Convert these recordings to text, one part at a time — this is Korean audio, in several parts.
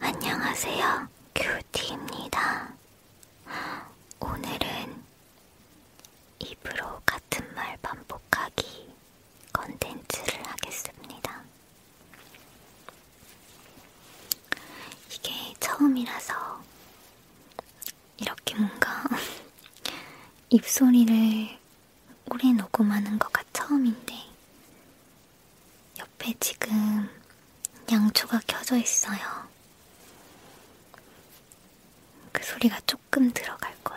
안녕하세요. 큐티입니다. 오늘은 입으로 같은 말 반복하기 컨텐츠를 하겠습니다. 이게 처음이라서 이렇게 뭔가 입소리를 오래 녹음하는 거가 처음인데 옆에 지금 양초가 켜져 있어요. 그 소리가 조금 들어갈 거예요.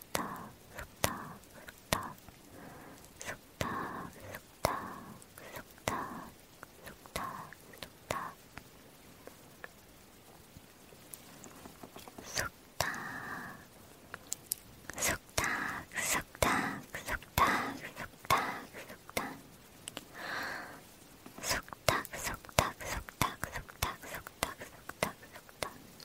숙탁 숙탁 숙탁 숙탁 숙탁 숙탁 숙탁 숙탁 숙탁 숙탁 숙탁 숙탁 숙탁 숙탁 속닥 속닥 속닥 속닥 속닥 속닥 속닥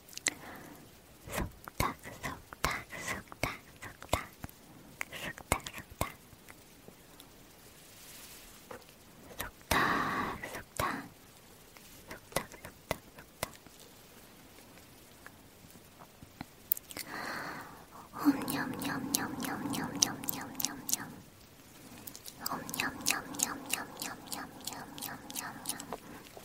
속닥 속닥 속닥 속닥 속닥 속닥 속닥 속닥 속닥 속닥 속닥 엄냠냠냠냠냠냠냠냠냠 엄냠냠냠냠냠냠냠냠냠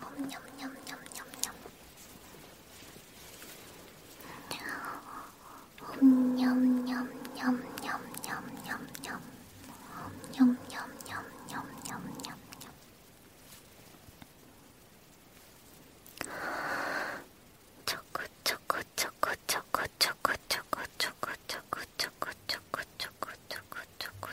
엄냠냠냠냠냠. 엄냠냠냠냠냠냠냠. 엄냠냠냠냠냠냠. 초코 초코 초코 초코 초코 초코 초코 초코 초코 초코 초코 초코 초코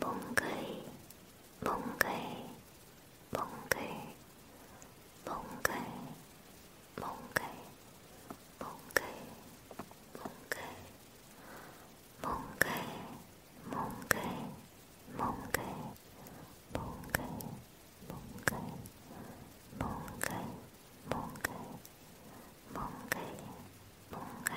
몽글 몽글 몽글 몽글 몽글 몽글 몽글 몽글 몽글 몽글 몽글 몽글 몽글 몽글 몽글 몽글 몽글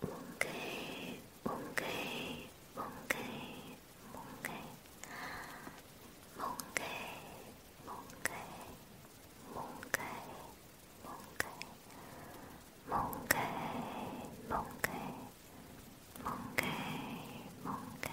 몽글 몽글 몽글 몽글 몽글 몽글 몽글 몽글 몽글 몽글 몽글 몽글 몽글 몽글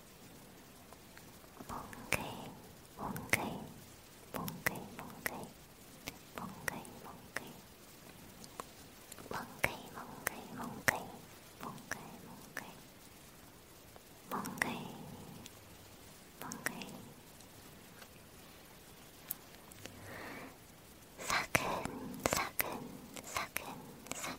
몽글 몽글 몽글 몽글 몽글 몽글 몽글 몽글 몽글 몽글 몽글 몽글 사근 사근 사근 사근 사근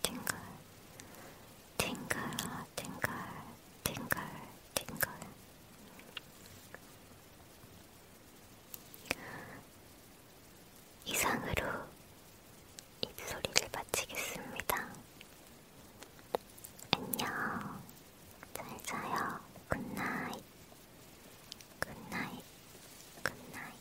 팅글 팅글 팅글 팅글 팅글 이상으로 입소리를 마치겠습니다. 안녕 잘자요 굿나잇 굿나잇 굿나잇